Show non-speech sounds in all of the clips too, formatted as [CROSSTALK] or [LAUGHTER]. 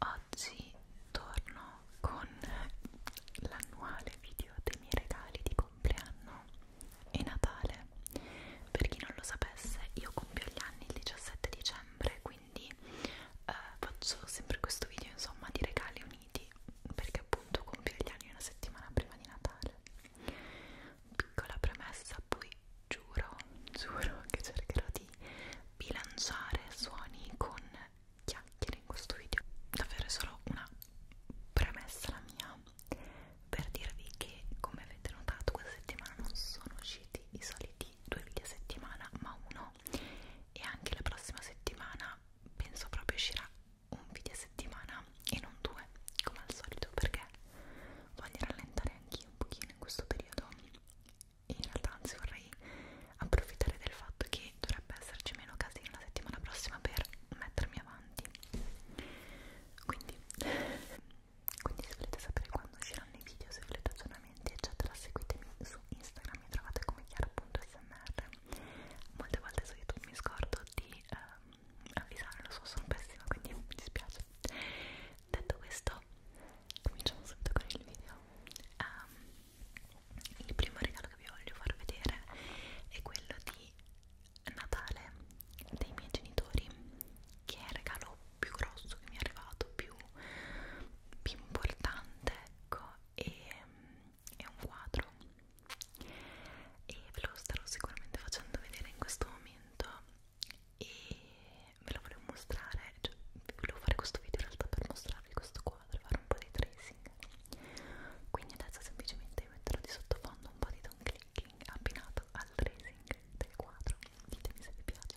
Oggi torno con l'annuale video dei miei regali di compleanno e Natale. Per chi non lo sapesse, io compio gli anni il 17 dicembre, quindi eh, faccio sempre questo video insomma di regali uniti perché appunto compio gli anni una settimana prima di Natale. Piccola premessa, poi giuro, giuro che cercherò di bilanciare suoni con chiacchiere in questo video. Davvero è solo una premessa la mia per dirvi che, come avete notato, questa settimana non sono usciti i soliti due video a settimana, ma uno, e anche la prossima settimana penso proprio uscirà un video a settimana e non due, come al solito, perché voglio rallentare anch'io un pochino in questo periodo in realtà anzi vorrei approfittare del fatto che dovrebbe esserci meno casino la settimana prossima per mettermi avanti quindi, quindi se volete sapere quando usciranno i video se volete aggiornamenti eccetera seguitemi su Instagram mi trovate come chiara.smr molte volte su YouTube mi scordo di ehm, avvisarlo so sono pessima quindi mi dispiace detto questo cominciamo subito con il video um, il primo regalo che vi voglio far vedere è quello di Natale dei miei genitori che è il regalo più grosso che mi è arrivato più, più importante ecco e è un quadro e ve lo starò sicuramente facendo vedere in questo momento e ve lo volevo mostrare, cioè, volevo fare questo video in realtà per mostrarvi questo quadro, fare un po' di tracing quindi adesso semplicemente metterò di sottofondo un po' di don clicking abbinato al tracing del quadro ditemi se vi piace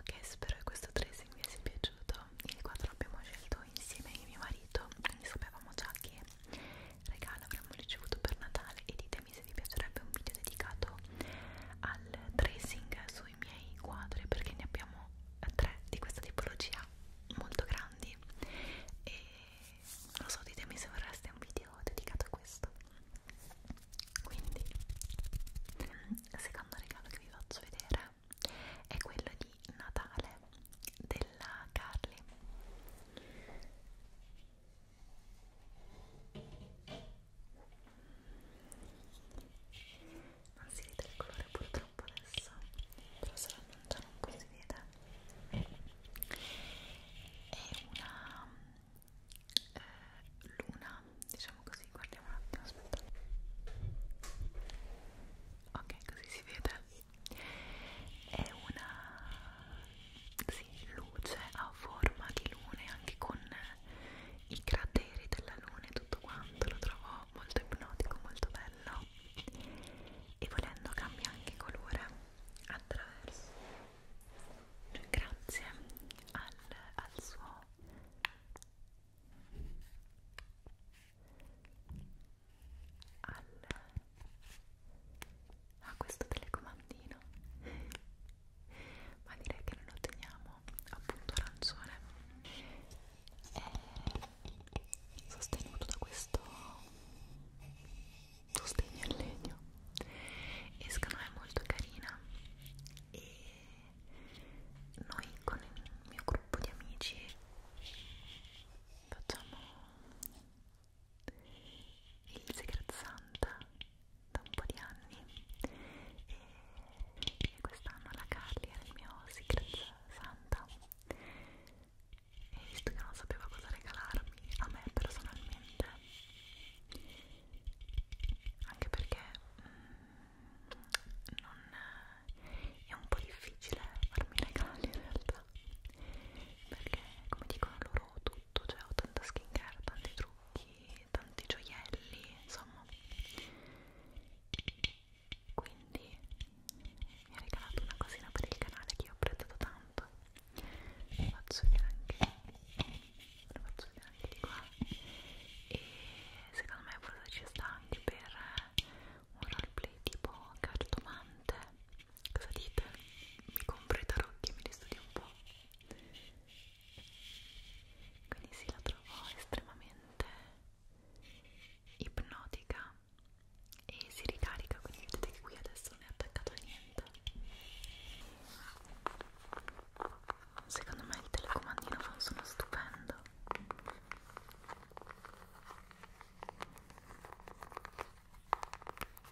Ok, spero che questo tracing vi sia piaciuto. Il quadro l'abbiamo scelto insieme a mio marito, quindi sapevamo già che regalo avremmo ricevuto per Natale e ditemi se vi piacerebbe un video dedicato al tracing sui miei quadri perché ne abbiamo tre di questa tipologia molto grandi e non so ditemi se vorreste un video dedicato a questo quindi il secondo regalo che vi faccio vedere è quello di Natale della Carly non si vede il colore purtroppo adesso però se lo annunciano un po' si vede è una eh, luna diciamo così guardiamo un attimo aspetta ok così si vede è una sì, luce a forma di lune anche con i crateri della luna e tutto quanto lo trovo molto ipnotico, molto bello e volendo cambia anche colore attraverso cioè, grazie al, al suo al... a questo telecomandino ma direi che non lo teniamo appunto arancione è sostenuto da questo sostegno in legno e secondo me è molto carina e noi con il mio gruppo di amici facciamo il Secret Santa da un po' di anni e, e quest'anno la Carly era il mio Secret Santa e visto che non sapeva cosa regalarmi a me personalmente anche perché mm, non, è un po' difficile farmi regali in realtà perché come dicono loro tutto, cioè ho tanta skincare, tanti trucchi, tanti gioielli, insomma quindi mi ha regalato una cosina per il canale che io ho apprezzato tanto ve faccio vedere anche ve faccio vedere anche di qua e secondo me forse ci sta anche per un roleplay tipo cartomante Cosa dite? Mi compro i tarocchi e me li studio un po'. Quindi sì, la trovo estremamente ipnotica e si ricarica, quindi vedete che qui adesso non è attaccato a niente. Secondo me il telecomandino fa un suono stupendo.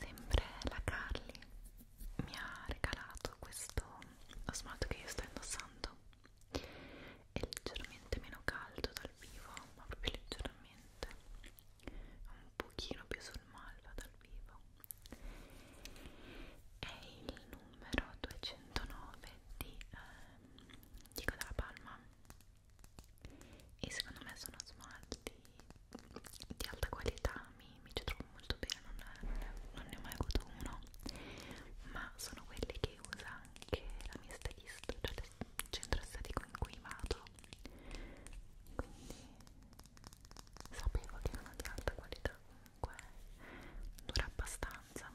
Sempre la Carly mi ha regalato questo smalto che io sto indossando è leggermente meno caldo dal vivo ma proprio leggermente un pochino più sul malva dal vivo è il numero 209 di ehm, Diego della Palma e secondo me sono smalti di alta qualità mi, mi ci trovo molto bene non, non ne ho mai avuto uno ma sono quelli che che usa anche la mia stylist, cioè il centro estetico in cui vado quindi sapevo che erano di alta qualità comunque dura abbastanza ok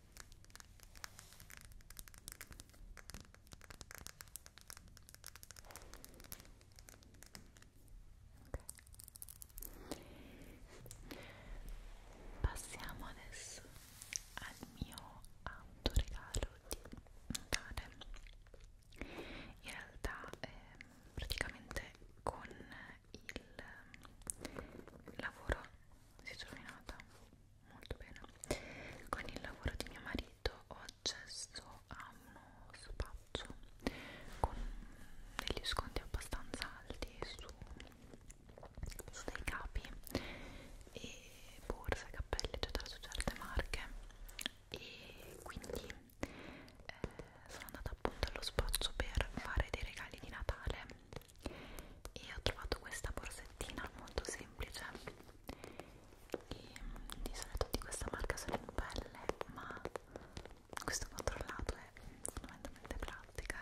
Passiamo adesso al mio autoregalo di Natale. In realtà eh, praticamente con il lavoro si è rovinata molto bene con il lavoro di mio marito ho accesso a uno spazio con degli sconti abbastanza alti su, su dei capi e borse, cappelli eccetera su certe marche e quindi eh, sono andata appunto allo spazio per fare dei regali di Natale e ho trovato questa borsettina molto semplice e di solito di questa marca sono in pelle ma questo controllato è fondamentalmente plastica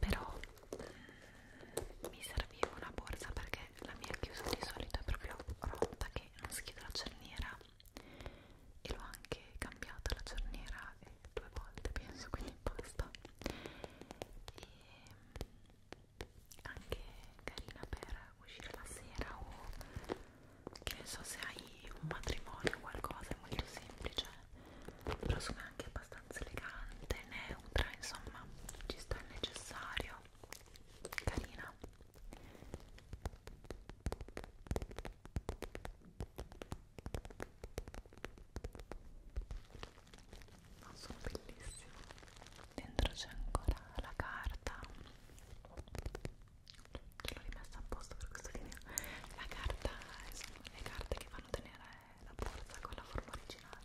però mh, eh, mi serviva una borsa perché la mia chiusa di solito è proprio rotta che non si chiude la cerniera e l'ho anche cambiata la cerniera due volte penso quindi basta e anche carina per uscire la sera o che ne so se hai un matrimonio o qualcosa è molto semplice però sono anche abbastanza elegante neutra insomma ci sta il necessario carina ma ah, sono bellissime dentro c'è ancora la carta che l'ho rimessa apposta per questo video la carta sono le carte che fanno tenere la borsa con la forma originale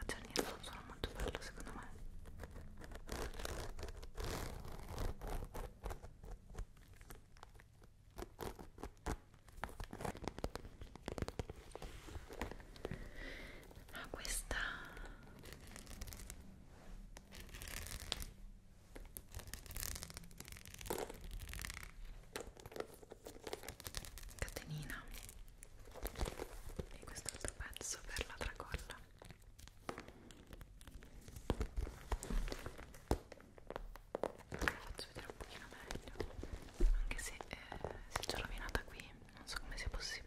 Aggiornirlo non sono molto bello secondo me ma ah, questa catenina e quest'altro pezzo per la tracolla la faccio vedere un pochino meglio anche se, eh, se c'è rovinata qui non so come sia possibile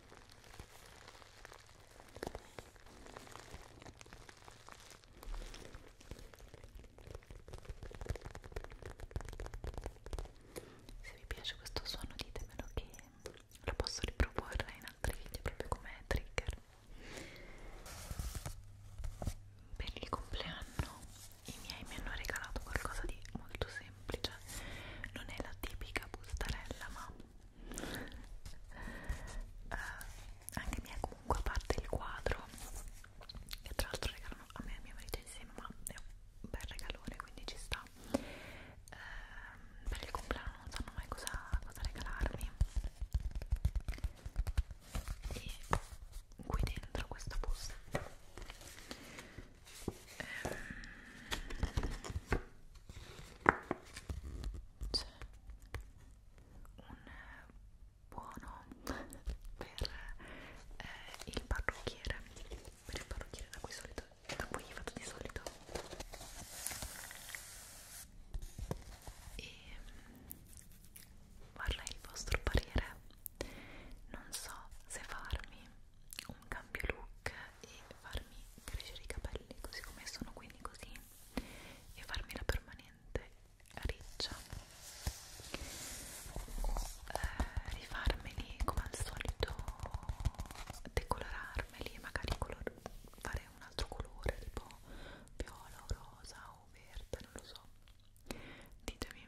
Se vi piace questo suono ditemelo che lo posso riproporre in altri video proprio come trigger per il compleanno i miei mi hanno regalato qualcosa di molto semplice semplice non è la tipica bustarella ma uh, anche mia comunque a parte il quadro che tra l'altro regalano a me e a mio marito insieme ma è un bel regalone quindi ci sta uh, per il compleanno non sanno mai cosa, cosa regalarmi e qui dentro questa busta c'è un buono per eh, il parrucchiere per il parrucchiere da cui solito da cui vado di solito e vorrei il vostro parere non so se farmi un cambio look e farmi crescere i capelli così come sono quindi così e farmi la permanente riccia o eh, rifarmeli come al solito decolorarmeli magari color fare un altro colore tipo viola o rosa o verde non lo so ditemi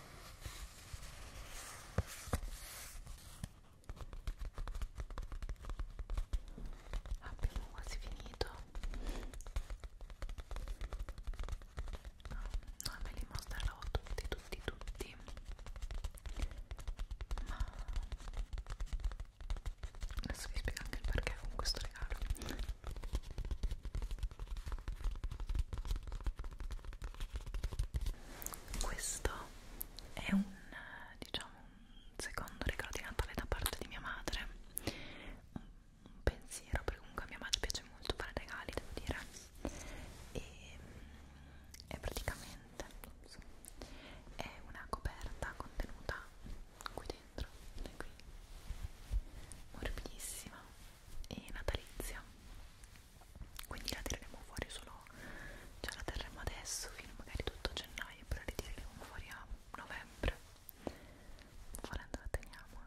Abbiamo quasi finito. No, non me li mostrerò tutti, tutti, tutti. Ma adesso vi spiego anche il perché con questo regalo. Questo è un, diciamo, un secondo regalo di Natale da parte di mia madre. Un pensiero, perché comunque a mia madre piace molto fare regali, devo dire. E è praticamente è una coperta contenuta qui dentro, qui morbidissima e natalizia quindi la tireremo fuori solo cioè la terremo adesso fino magari tutto gennaio però la ritireremo fuori a novembre volendo la teniamo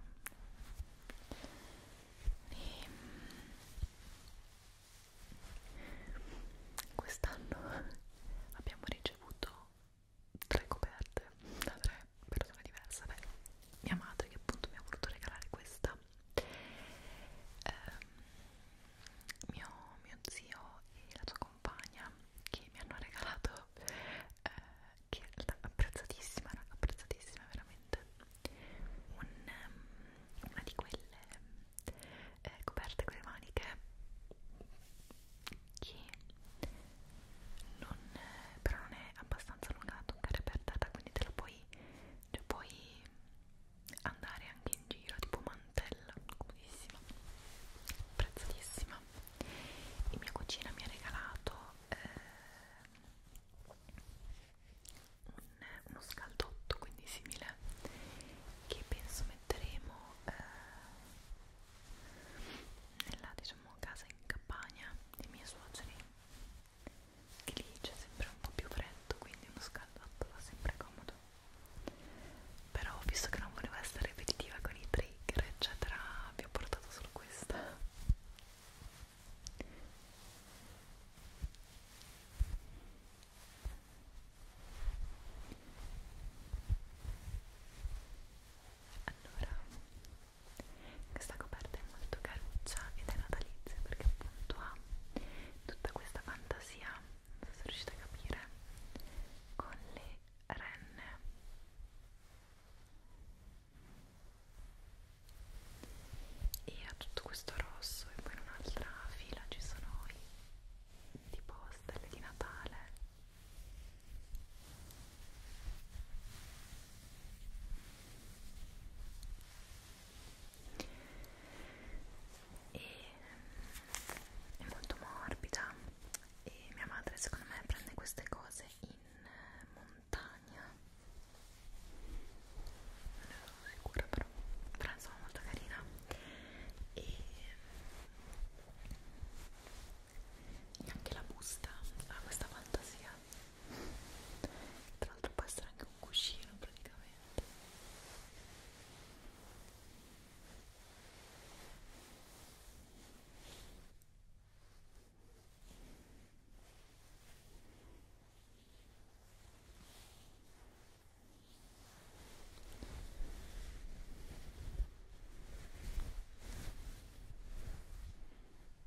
e mm, quest'anno [LAUGHS] abbiamo ricevuto tre coperte da tre persone diverse beh, mia madre che appunto mi ha voluto regalare questa ehm, mio, mio zio e la sua compagna che mi hanno regalato eh, che in realtà apprezzatissima apprezzatissima veramente un, um, una di quelle eh, coperte con le maniche che non, però non è abbastanza lunga da toccare per terra quindi te la puoi, cioè puoi andare anche in giro tipo mantella comodissima prezzatissima e mia cucina mi ha regalato eh, un, uno scaldotto quindi simile che penso metteremo eh, nella diciamo casa in campagna dei miei suoceri che lì c'è sempre un po' più freddo quindi uno scaldotto fa sempre comodo però visto che non volevo essere ripetitiva con i trigger eccetera vi ho portato solo questa allora questa coperta è molto caruccia ed è natalizia perché appunto ha tutta questa fantasia non so se riuscite a capire con le renne e ha tutto questo rosso e poi in un'altra fila ci sono i tipo stelle di Natale e ehm, è molto morbida e mia madre secondo me prende queste cose in eh, montagna non ne sono sicura però però insomma molto carina e ehm, anche la busta ha questa fantasia tra l'altro può essere anche un cuscino praticamente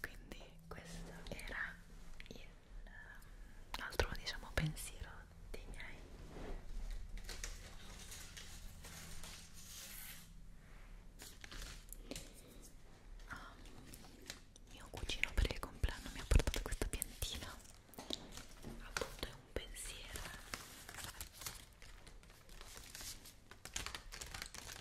quindi questo era l'altro um, diciamo pensiero dei miei ah, mio cugino per il compleanno mi ha portato questa piantina appunto è un pensiero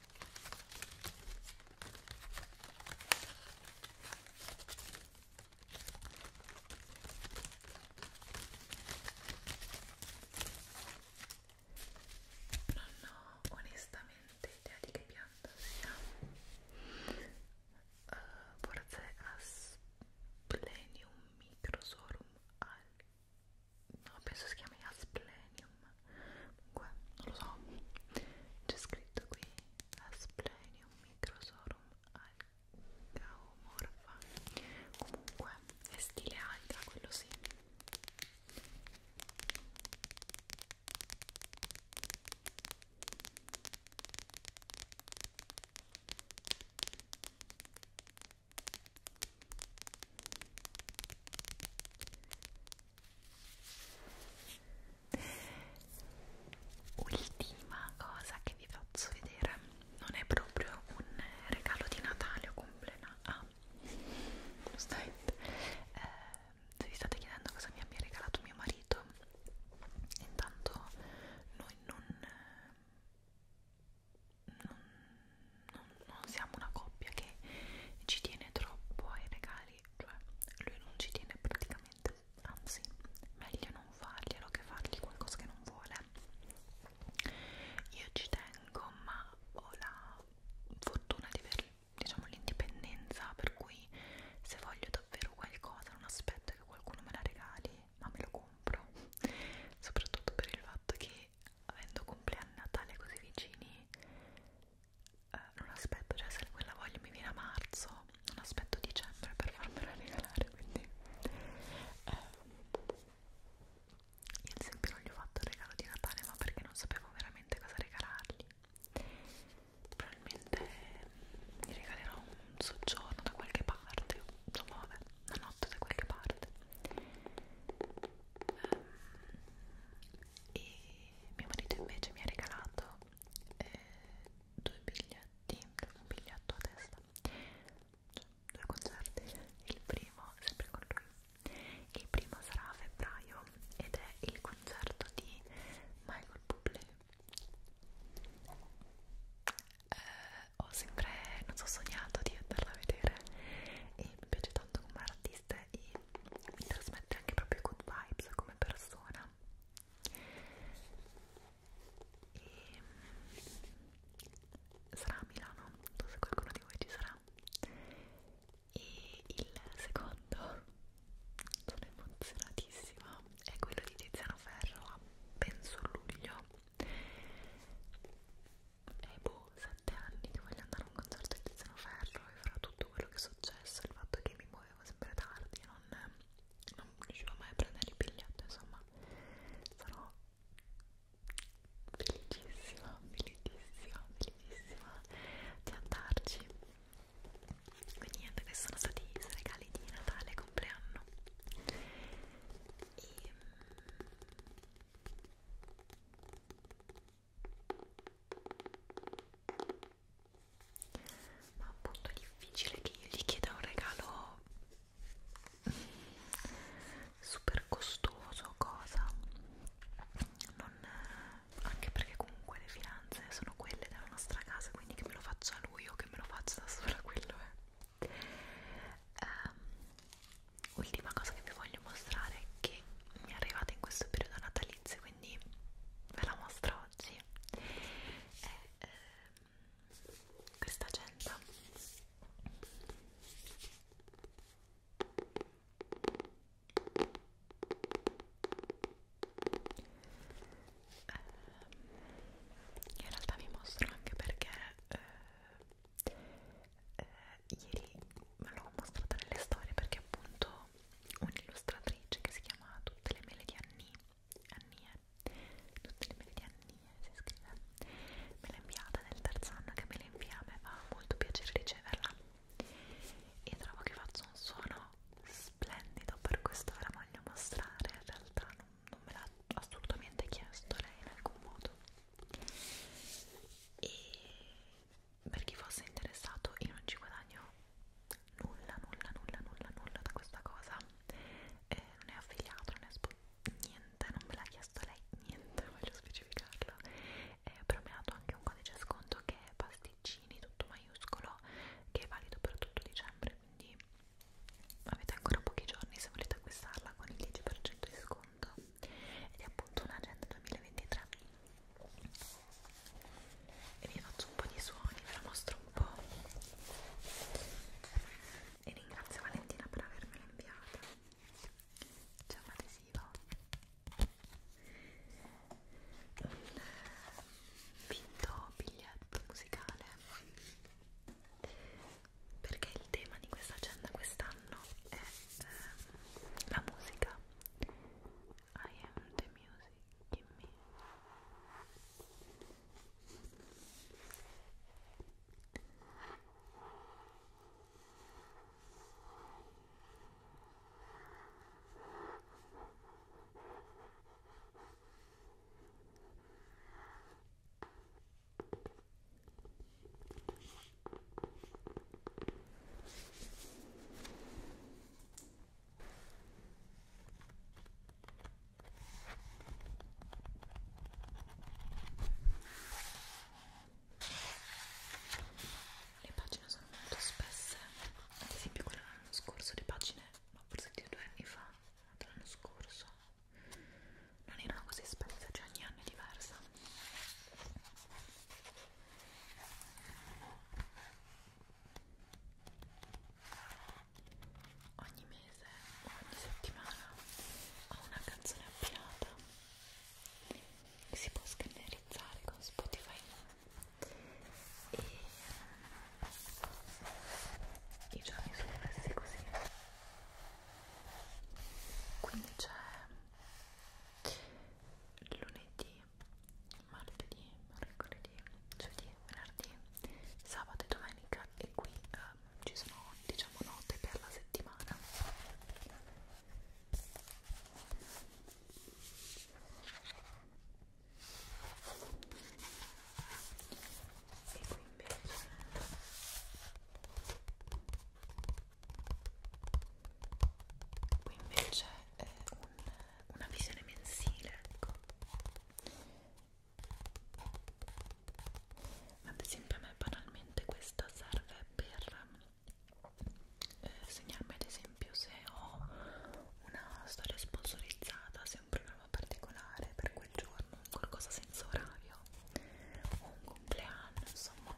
Non ho onestamente idea di che pianta sia. Uh, forse Asplenium Microsorum al... No, penso si chiami Asplenium comunque non lo so c'è scritto qui Asplenium microsorum algaomorfa comunque è stile alga quello sì Ultima cosa che vi faccio vedere, non è proprio un regalo di Natale o compleanno, ah, stai, eh, se vi state chiedendo cosa mi abbia regalato mio marito, intanto noi non, non, non, non siamo una coppia che ci tiene troppo ai regali male, cioè lui non ci tiene praticamente, anzi meglio non farglielo che fargli qualcosa che non vuole. Io ci tengo ma ho la fortuna di avere diciamo l'indipendenza per cui se voglio davvero qualcosa non aspetto che qualcuno me la regali ma me lo compro soprattutto per il fatto che avendo compleanno Natale così vicini eh, non aspetto, cioè se quella voglia mi viene a marzo, non aspetto dicembre per farmela regalare, quindi eh, io ad esempio non gli ho fatto il regalo di Natale ma perché non sapevo veramente cosa regalargli probabilmente gli regalerò un soggiorno da qualche parte, insomma vabbè, una notte da qualche parte ehm, e mio marito invece mi ha regalato eh, due biglietti un biglietto a testa cioè, due concerti il primo, sempre con lui il primo sarà a febbraio ed è il concerto di Michael Bublé eh, ho sempre, non so, sognato di andarla a vedere e mi piace tanto come artista e mi trasmette anche proprio good vibes come persona e mm, sarà a Milano, non so se qualcuno di voi ci sarà e il secondo, sono emozionatissima, è quello di Tiziano Ferro a penso luglio e boh, 7 7 anni che voglio andare a un concerto di Tiziano Ferro e fra tutto quello che è successo, il fatto che mi muovevo sempre tardi, non, non riuscivo mai a prendere il biglietto, insomma, sarò felicissima, felicissima, felicissima di andarci. Quindi niente, questi sono stati i regali di Natale e compleanno. E, mm, ma appunto è difficile che io gli chieda un regalo super costoso cosa non, anche perché comunque le finanze sono quelle della nostra casa quindi che me lo faccia lui o che me lo faccia da sola quello è um, ultima cosa che vi voglio mostrare è che mi è arrivata in questo periodo natalizio quindi ve la mostro oggi è eh, questa agenda eh, in realtà vi mostro anche perché eh, eh, ieri me l'ho mostrata nelle storie perché appunto un'illustratrice che si chiama Tutte le mele di Annie, Annie, eh. tutte le mele di Annie eh, si scrive, me l'ha inviata nel terzo anno che me l'invia, mi fa molto piacere riceverla e trovo che faccio un suono splendido per questo ve la voglio mostrare, in realtà non, non me l'ha assolutamente chiesto lei in alcun modo e per chi fosse interessato io non ci guadagno nulla, nulla, nulla, nulla, nulla da questa cosa eh, non è affiliato, non è niente, non me l'ha chiesto lei, niente, [LAUGHS] voglio specificarlo eh, però mi ha dato anche un codice sconto che è pasticcini, tutto maiuscolo che è valido per tutto dicembre quindi avete ancora pochi giorni se volete acquistarla con il 10% di sconto ed è appunto un'agenda 2023 e vi faccio un po' di suoni, ve la mostro un po' e ringrazio Valentina per avermela inviata c'è un adesivo un vinto biglietto musicale perché il tema di questa agenda quest'anno è eh, la musica I am the music in me. Le pagine sono molto spesse, ad esempio quella dell'anno scorso, le pagine, no, forse di due anni fa, dell'anno scorso, non erano così spesse, cioè ogni anno è diversa ogni mese o ogni settimana ho una canzone abbinata che si può scannerizzare con Spotify e mm, i giorni sono messi così quindi c'è lunedì, martedì, mercoledì, giovedì, venerdì, sabato e domenica e qui eh, ci sono diciamo note per la settimana e qui invece qui invece è un, una visione mensile ecco ad esempio a me banalmente questa serve per eh, segnarmi ad esempio se ho una storia sponsorizzata se un programma particolare per quel giorno qualcosa senza orario o un compleanno insomma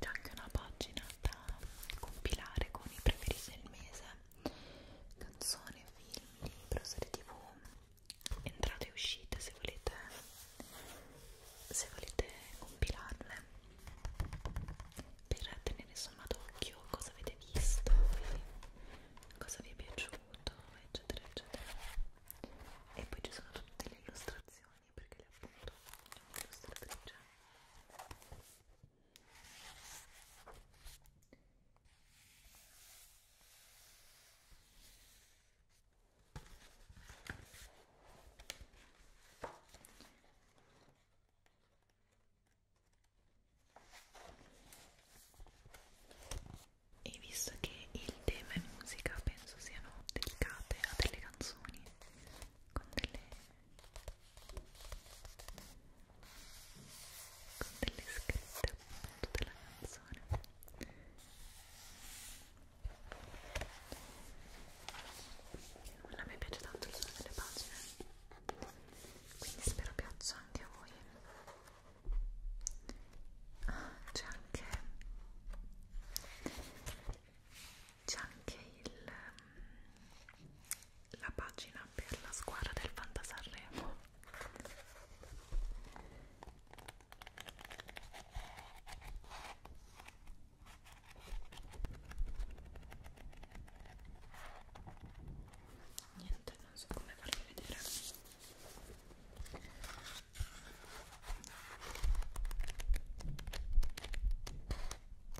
c'è anche una pagina da compilare con i preferiti del mese canzoni, film, libro, serie tv entrate e uscite se volete se volete compilarle per tenere sott'occhio cosa avete visto cosa vi è piaciuto eccetera eccetera e poi ci sono tutte le illustrazioni mani perché le appunto è un'illustratrice e visto che il tema è musica penso siano dedicate a delle canzoni con delle con delle scritte appunto della canzone a me piace tanto il suono delle pagine quindi spero piaccia anche a voi ah, c'è anche c'è anche il, ehm, la pagina per la squadra del Fantasarremo niente non so come farvi vedere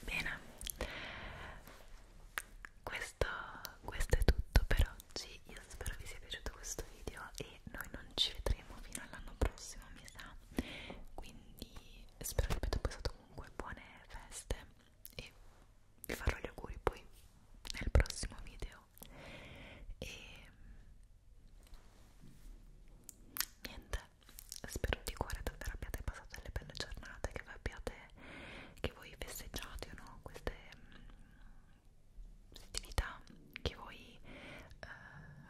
Bene, questo, questo è tutto per oggi. Io spero vi sia piaciuto questo video e noi non ci vedremo fino all'anno prossimo, mi sa. Quindi spero che abbiate passato comunque buone feste e vi farò gli auguri poi nel prossimo video. E niente, spero di cuore davvero abbiate passato delle belle giornate, che voi abbiate, che voi festeggiate o no, queste mm, festività, che voi eh,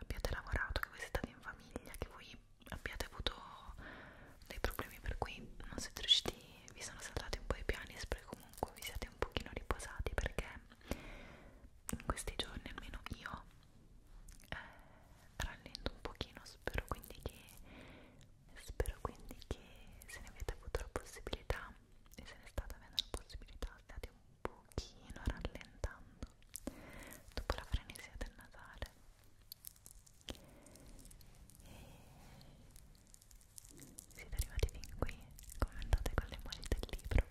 abbiate lavorato, che voi siete stati in famiglia, che voi abbiate avuto dei problemi per cui non siete riusciti, vi sono saltati un po' i piani, spero che comunque vi siate un pochino riposati perché in questi giorni almeno io eh, rallento un pochino spero quindi che spero quindi che se ne avete avuto la possibilità e se ne state avendo la possibilità state un pochino rallentando dopo la frenesia del Natale e siete arrivati fin qui commentate con le emoji del libro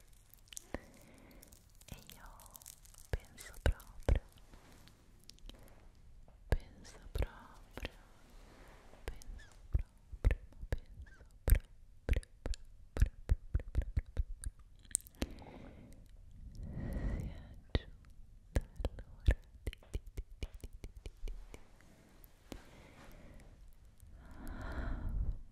e io penso proprio penso proprio penso proprio penso proprio proprio proprio proprio si è giunta l'ora di, di, di, di, di, di, di. Ah,